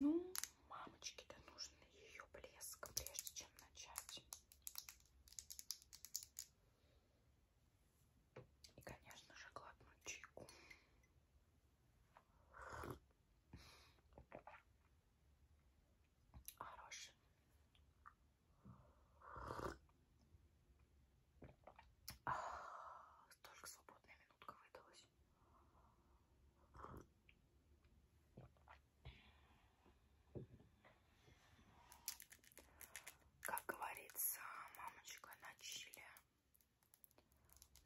Ну, мамочке-то нужен ее блеск, прежде чем начать. И, конечно же, глотнуть чайку. Хороший. А, столько свободная минутка выдалась. Как говорится, мамочка на чиле,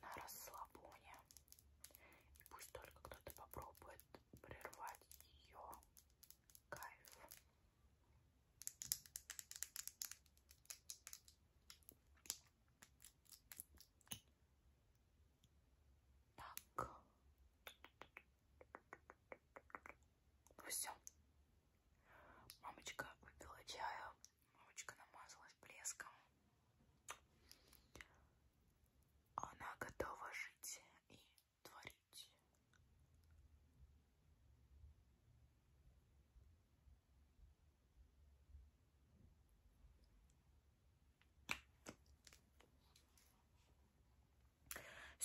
на расслабоне. И пусть только кто-то попробует прервать ее кайф. Так. Ну все. Мамочка выпила чаю. Мамочка намазалась блеском. Она готова жить и творить.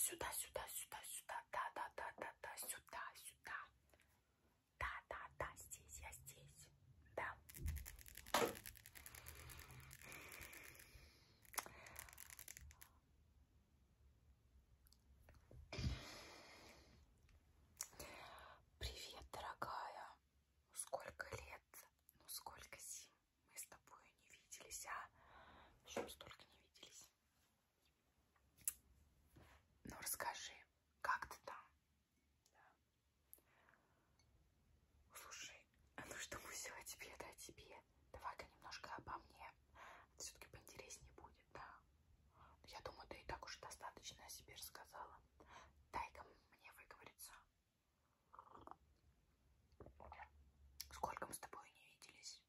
Сюда, сюда, сюда, сюда, да, да, да, да, да, сюда, сюда. Да, да, да, здесь, я здесь. Да. Привет, дорогая. Ну сколько лет, ну сколько зим мы с тобой не виделись, а еще столько не виделись. Ну расскажи, как ты там? Да. Слушай, а ну что мы все о тебе, да о тебе? Давай-ка немножко обо мне. Это все-таки поинтереснее будет, да? Я думаю, ты и так уж достаточно о себе рассказала. Дай-ка мне выговориться. Сколько мы с тобой не виделись?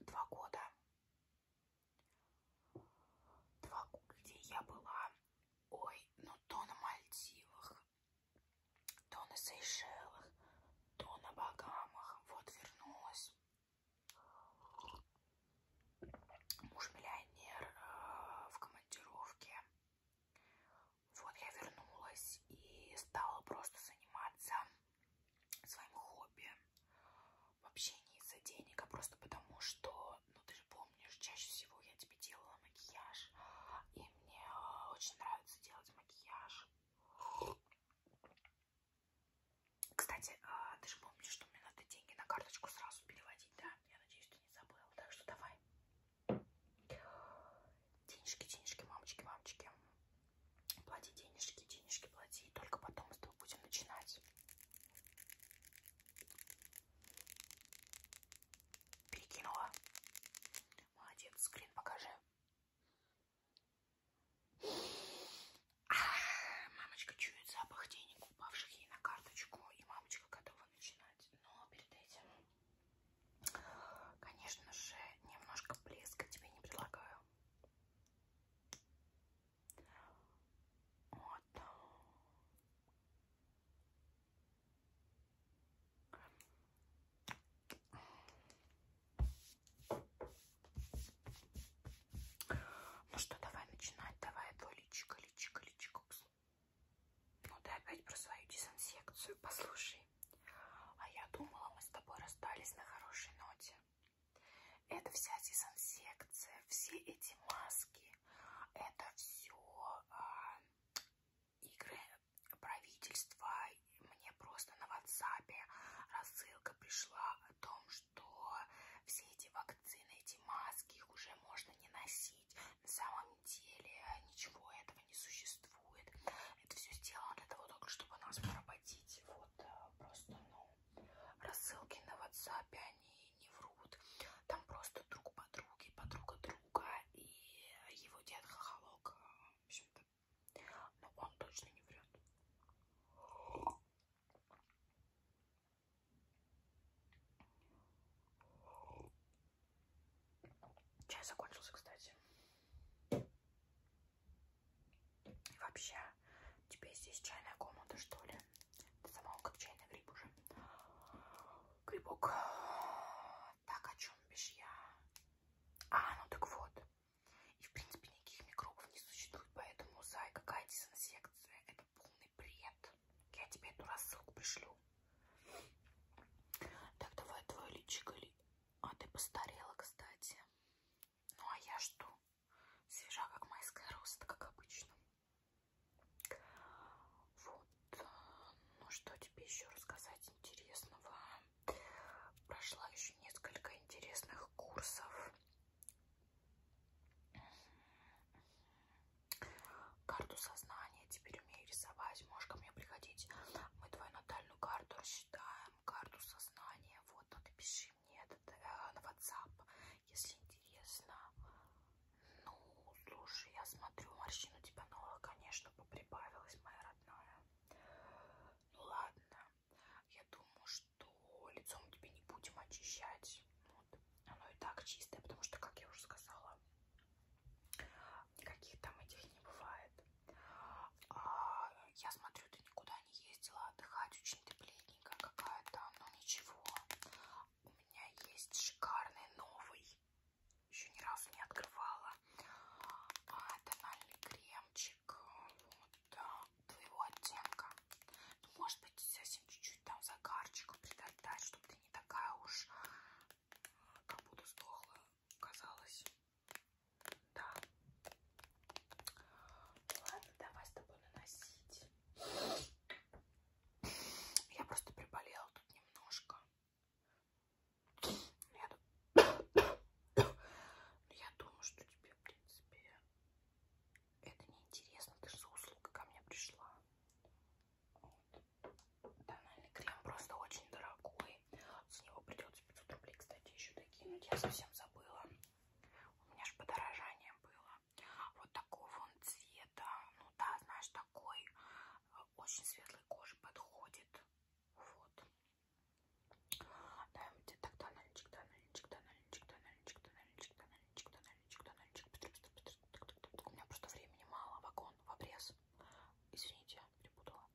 Два года. Два года, где я была. Ой, ну то на Мальдивах, то на Сейшелах, то на Багамах. Вот вернулась. Муж-миллионер э, в командировке. Вот я вернулась и стала просто заниматься своим хобби. Вообще не из-за денег, а просто потому что, ну ты же помнишь, чаще всего я тебе делала макияж. И мне э, очень нравится делать макияж. Кстати, ты а, же помнишь, что мне надо деньги на карточку сразу переводить, да? Я надеюсь, ты не забыл. Так что давай. Денежки, денежки, мамочки, мамочки. Плати денежки, денежки плати. И только потом с тобой будем начинать. Перекинула. Молодец, скрин покажи. Мамочка чует запах денег, упавших ей на карточку, и мамочка готова начинать. Но перед этим, конечно же, немножко блеска тебе не предлагаю. Вот. Ну что, давай начинать. Давай твой личико, личико, личико. Ну ты опять про свою дезинсекцию. Послушай. А я думала, мы с тобой расстались на хорошей ноте. Это вся дезинсекция, все эти маски, это все а, игры правительства. Мне просто на WhatsApp рассылка пришла о том, что что все эти вакцины, эти маски, их уже можно не носить. На самом деле ничего этого не существует. Это все сделано для того, только чтобы нас поработить. Вот э, просто, ну, рассылки на WhatsApp, они не врут. Там просто друг подруги, подруга друга и его дед хохолок. Э, в общем-то, но он точно не врет. Чай закончился, кстати. И вообще, тебе здесь чайная комната, что ли? Ты сама как чайный гриб уже. Грибок. Так, о чем бишь я? А, ну так вот. И, в принципе, никаких микробов не существует, поэтому, Зай, какая дезинсекция? Это полный бред. Я тебе эту рассылку пришлю. Так, давай твое личико. А ты постарела, кстати. Ну, а я что? Свежа, как майская роста, как обычно. Вот. Ну, что тебе еще рассказать интересного? Прошла еще несколько интересных курсов. Карту сознания теперь умею рисовать. Можешь ко мне приходить. Мы твою натальную карту рассчитаем. Карту сознания. Вот, напиши мне этот, э, на WhatsApp, если интересно. Ну, слушай, я смотрю, морщину тебя, ну, конечно, поприбавилась, моя родная. Ну, ладно. Я думаю, что лицо мы тебе не будем очищать. Вот. Оно и так чистое, потому что, как я уже сказала, никаких там этих не бывает. А, я смотрю, ты никуда не ездила отдыхать, очень ты бледненькая какая-то, но ничего. У меня есть шикарный новый, еще ни разу не открывала, а, тональный кремчик. Вот твоего оттенка. Ну, может быть, совсем чуть-чуть там загарчиком придать, чтобы ты не такая уж э, как будто сдохла, казалось. Да. Ладно, давай с тобой наносить. Я просто приболела тут немножко. Я, я думаю, что тебе, в принципе, это неинтересно, ты же за услугой ко мне пришла. Вот. Тональный крем просто очень дорогой. С него придется 500 рублей, кстати, еще докинуть. Я совсем забыла. У меня же подорожание было. Вот такого он цвета. Ну да, знаешь, такой. Э, очень светлой коже подходит. Вот. Дай мне тогда наличик, да наличик, да наличик, да наличик, да наличик, да наличик, да наличик, да наличик. У меня просто времени мало, вагон в обрез. Извините, перепутала.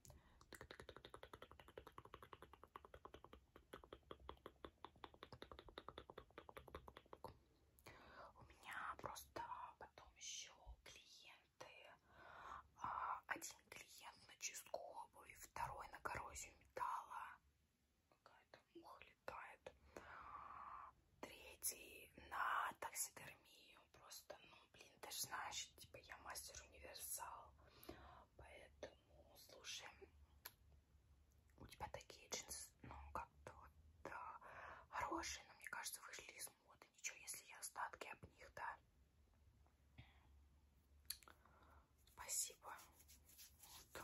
У меня просто потом еще клиенты. А, один один клиент на чистку обуви, второй на коррозию металла. Какая-то муха летает. Третий на таксидермию. Просто, ну, блин, ты же знаешь, типа я мастер-универсал. Поэтому, слушай, у тебя такие джинсы, ну, как-то вот да, хорошие, но мне кажется, вышли из моды. Ничего, если я остатки об них, да. Спасибо. Вот.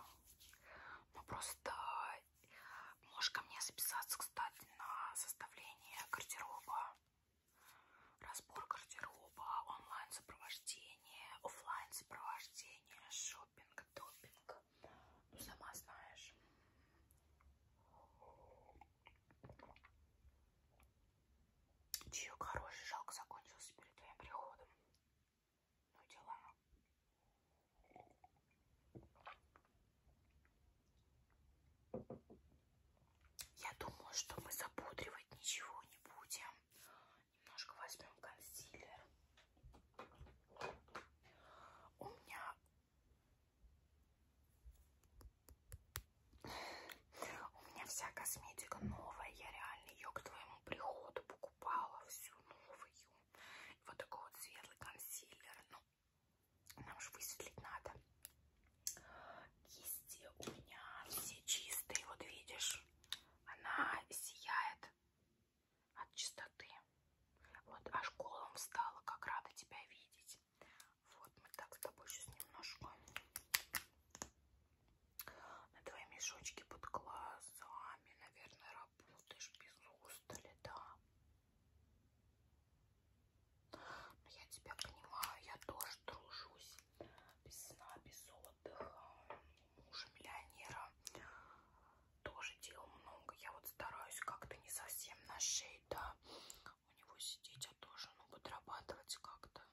Ну просто э, можешь ко мне записаться, кстати, на составление гардероба. Разбор гардероба, онлайн-сопровождение, офлайн-сопровождение, шопинг, допинг. Ну, сама знаешь. Чаек хороший, жалко закончился перед твоим приходом. Ну дела. Я думаю, что мы запудривать ничего не будем. Немножко возьмем консилер. У меня у меня вся косметика новая. Я реально ее к твоему приходу покупала. Всю новую. И вот такой вот светлый консилер. Ну, нам же высветлить надо. Кисти у меня все чистые. Вот видишь, она сияет от чистоты. Вот аж колом встала. Как рада тебя видеть. Вот мы так с тобой сейчас немножко на твои мешочки под глазами, наверное, работаешь без устали, да? Но я тебя понимаю, я тоже тружусь без сна, без отдыха. Мужа миллионера тоже делал много. Я вот стараюсь как-то не совсем на шее, да, у него сидеть, а тоже, ну, подрабатывать как-то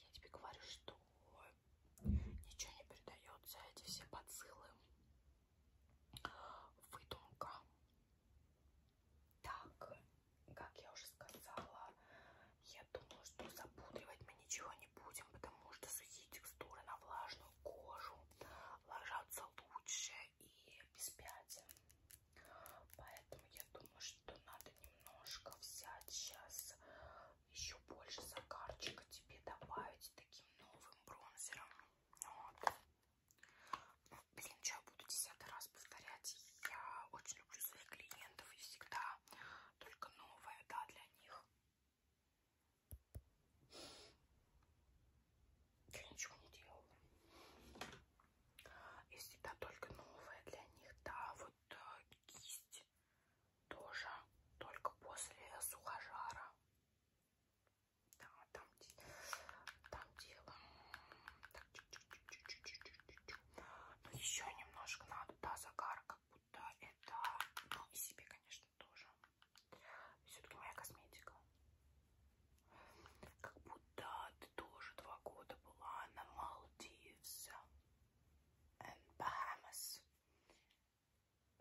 Я тебе говорю, что ничего не передается, эти все подсылы, выдумка. Так, как я уже сказала, я думаю, что запудривать мы ничего не будем, потому что сухие текстуры на влажную кожу ложатся лучше и без пятен. Поэтому я думаю, что надо немножко взять сейчас еще больше загарчика тебе добавить таким новым бронзером. Вот. Ну, блин, что я буду десятый раз повторять. Я очень люблю своих клиентов и всегда только новое, да, для них. Я ничего не делала. И всегда только новое для них, да, вот э, кисть тоже только после сухожара. Да, там, там дело. Так, чу -чу -чу -чу -чу. Но еще немножко надо, да, загар, как будто это. Ну, и себе, конечно, тоже. Все-таки моя косметика. Как будто ты тоже два года была на Малдивсе. Эм, Bahamas.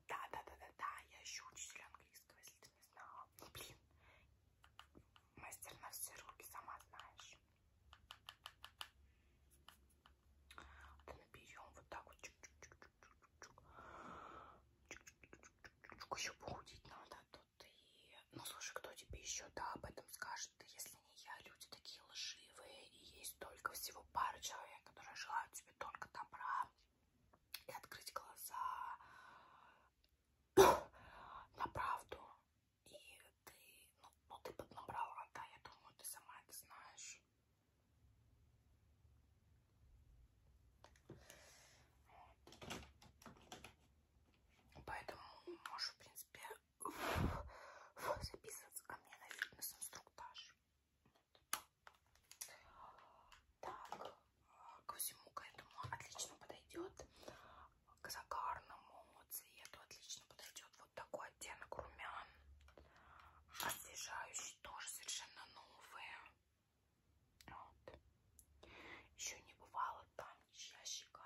Да-да-да-да-да, я еще учитель английского, если ты не знала. Ну, блин, мастер на все руки, сама знаешь. Вот наберем вот так вот. Чук -чук -чук -чук -чук. Чук -чук -чук. Еще похудеть надо а тут. И... Ну, слушай, кто тебе еще да, об этом скажет, если я люди такие лживые, и есть только всего пара человек, которые желают тебе только добра и открыть глаза на правду. И ты, ну, ну ты поднабрала, да, я думаю, ты сама это знаешь. Поэтому можешь, в принципе, записываться ко мне на фитнес-инструктаж. Так, э, ко всему к этому отлично подойдет. К загарному цвету отлично подойдет вот такой оттенок румян. Освежающий тоже совершенно новые. Вот. Еще не бывало там ничья щека.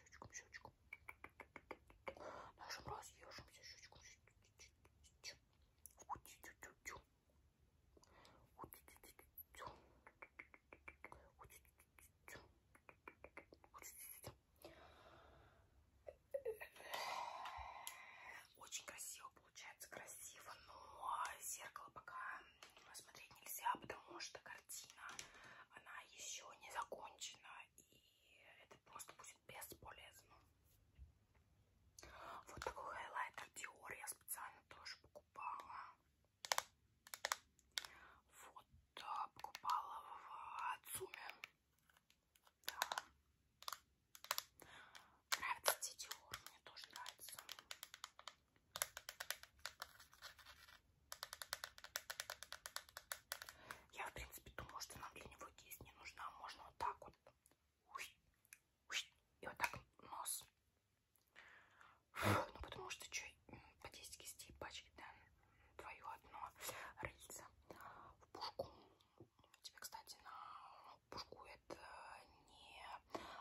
щечком, щечком. Нашим разъежимся щечком. Очень красиво получается, красиво, но зеркало пока смотреть нельзя, потому что картина, она еще не закончена, и это просто будет бесполезно. Вот такой хайлайтер Dior я специально тоже покупала. Вот, покупала в Ацуме. Да. Нравится Dior, мне тоже нравится. Я, в принципе, думаю, что нам для него кисть не нужна. Можно вот так вот. И вот так нос. Ну, потому что что, по 10 кистей пачки, да? Твою одно рыльце в пушку. Тебе, кстати, на пушку это не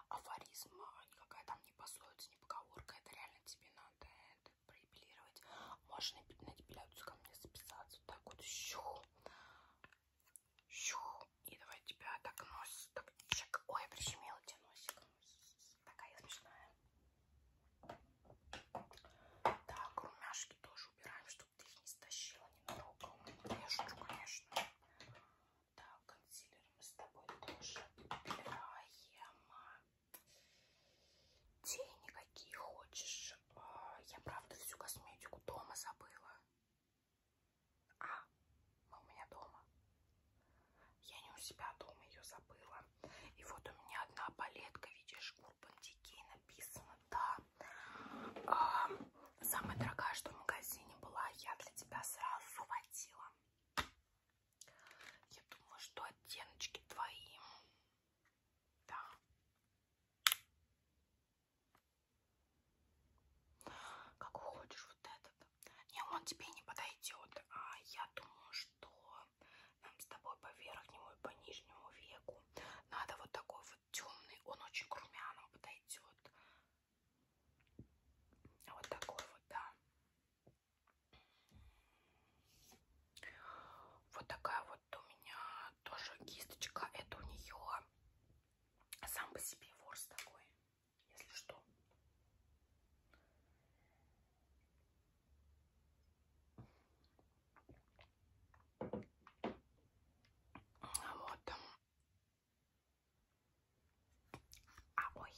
афоризм, а никакая там не пасует это не поговорка, это реально тебе надо это проэпилировать. Можно на депиляцию ко мне записаться, вот так вот, щу, щу, и давай тебя так нос, так, чик. ой, я прищемила тебе носик, такая смешная. Так, румяшки тоже убираем, чтобы ты их не стащила ненароком. Я шучу, конечно. Так, консилер мы с тобой тоже убираем. Тени какие хочешь. А, я, правда, всю косметику дома забыла. А, ну, у меня дома. Я не у себя дома ее забыла. И вот у меня одна палетка, видишь, Urban Decay написано, да. А, самая дорогая, что в магазине была, я для тебя сразу захватила. Я думаю, что оттеночки твои. Да. Как хочешь вот этот. Не, он тебе не подойдет. А я думаю, что нам с тобой по верхнему и по нижнему веку надо вот такой вот темный. Он очень к румяному подойдет. Вот такой вот, да. Вот такая вот у меня тоже кисточка. Это у нее сам по себе ворс такой, если что. Вот. А, ой.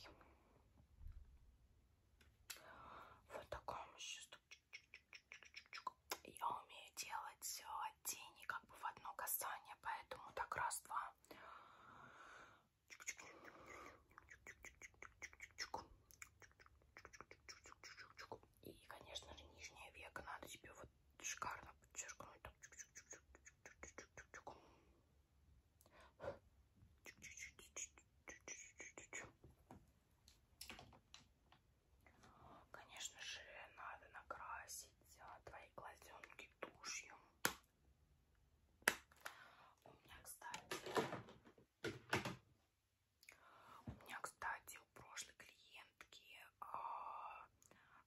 Вот такой он еще Я умею делать тени как бы в одно касание, поэтому так раз-два. И, конечно же, нижнее веко надо тебе вот шикарно подчеркнуть. Конечно же, надо накрасить а, твои глазенки тушью. У меня, кстати, у меня, кстати, у прошлой клиентки а,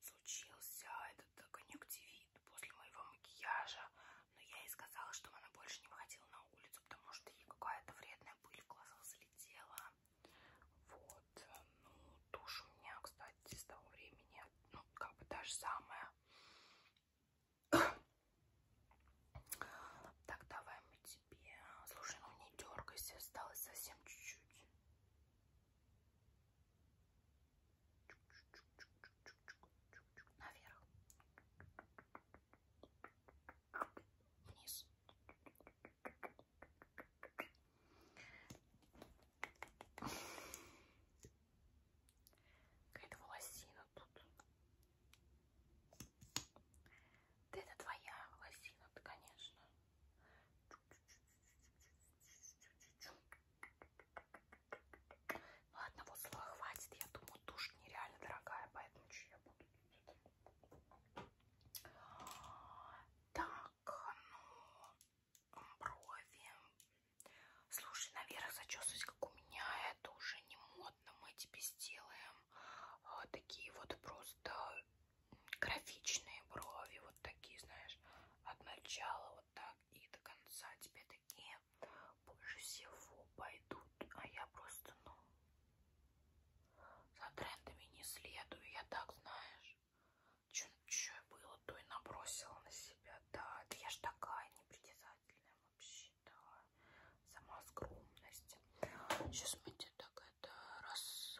случился этот конъюнктивит после моего макияжа. Но я ей сказала, чтобы она больше не выходила на улицу, потому что ей какая-то вредная пыль в глаза залетела. Вот. Э, ну, тушь у меня, кстати, с того времени, ну, как бы та же самая. Так, давай мы тебе... Слушай, ну не дергайся, осталось совсем чуть-чуть наверх, вниз. Какая-то волосина тут. Да это твоя волосина, конечно. Ну, одного слоя хватит. Я думаю, тушь нереально дорогая, поэтому что я буду... Так, ну, брови. Слушай, наверх зачесывать, как у меня, это уже не модно. Мы тебе сделаем а, такие вот просто графичные брови. Вот такие, знаешь, от начала вот так и до конца тебе такие больше всего пойдут, а я просто, ну, за трендами не следую, я так, знаешь, что было, то и набросила на себя, да, да я ж такая непритязательная вообще, да, сама скромность. Сейчас мы тебе так это раз,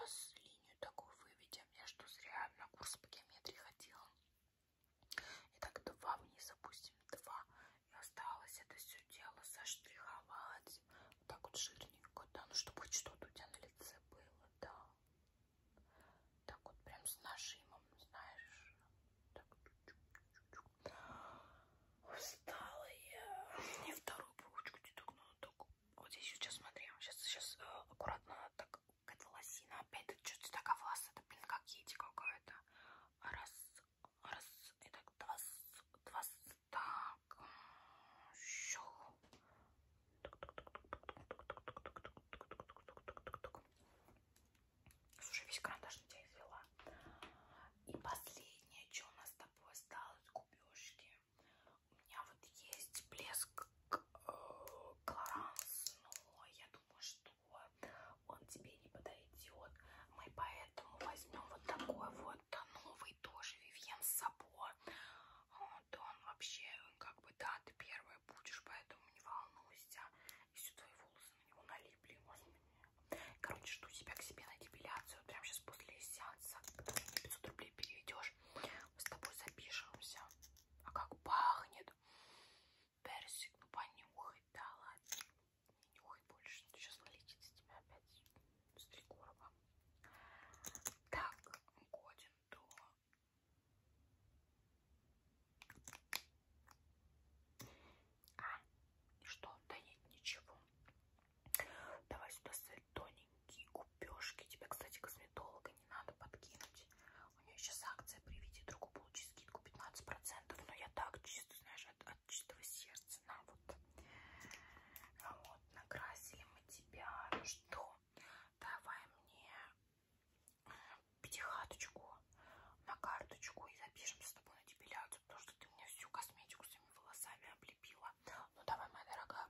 раз линию такую выведем, я что, зря на курс по геометрии ходила. Итак, два вниз опустим, два. И осталось это все дело заштриховать. Вот так вот жирненько, да, ну чтобы хоть что-то у тебя на лице было, да. Так вот прям с нажимом, знаешь. Так. Устала я. И вторую ручку тебе так надо. Вот здесь сейчас смотри, сейчас, сейчас э, аккуратно так это лосина. Опять тут что-то такая волоса. Это, блин, как еди какая-то. Раз, раз, и так два, два, так. Щу. Слушай, весь карандаш на тебя извела. И последнее, что у нас с тобой осталось, губежки. У меня вот есть блеск так, э, Клоранс, но я думаю, что он тебе не подойдет. Мы поэтому возьмем вот такой вот новый тоже Вивьен с собой. Вот а, он вообще, как бы, да, ты первая будешь, поэтому не волнуйся. Если твои волосы на него налипли, можно мне... Короче, жду тебя к себе на депиляцию. Прямо сейчас после сеанса, когда ты мне 500 рублей переведешь, мы с тобой запишемся. А как пахнет какой-то персик. Ну понюхай, да ладно. Не нюхай больше. Сейчас вылетит с тебя опять с три короба. Так, годен до... А, что? Да нет, ничего. Давай сюда ссать тоненькие губежки. Тебя, кстати, косметолог Лего не надо подкинуть. У нее сейчас акция «Приведи другу, получи скидку 15%». Но я так, чисто, знаешь, от, от чистого сердца. На, вот. А вот, накрасили мы тебя. Ну что, давай мне э, пятихаточку на карточку и запишем с тобой на депиляцию, потому что ты мне всю косметику своими волосами облепила. Ну давай, моя дорогая.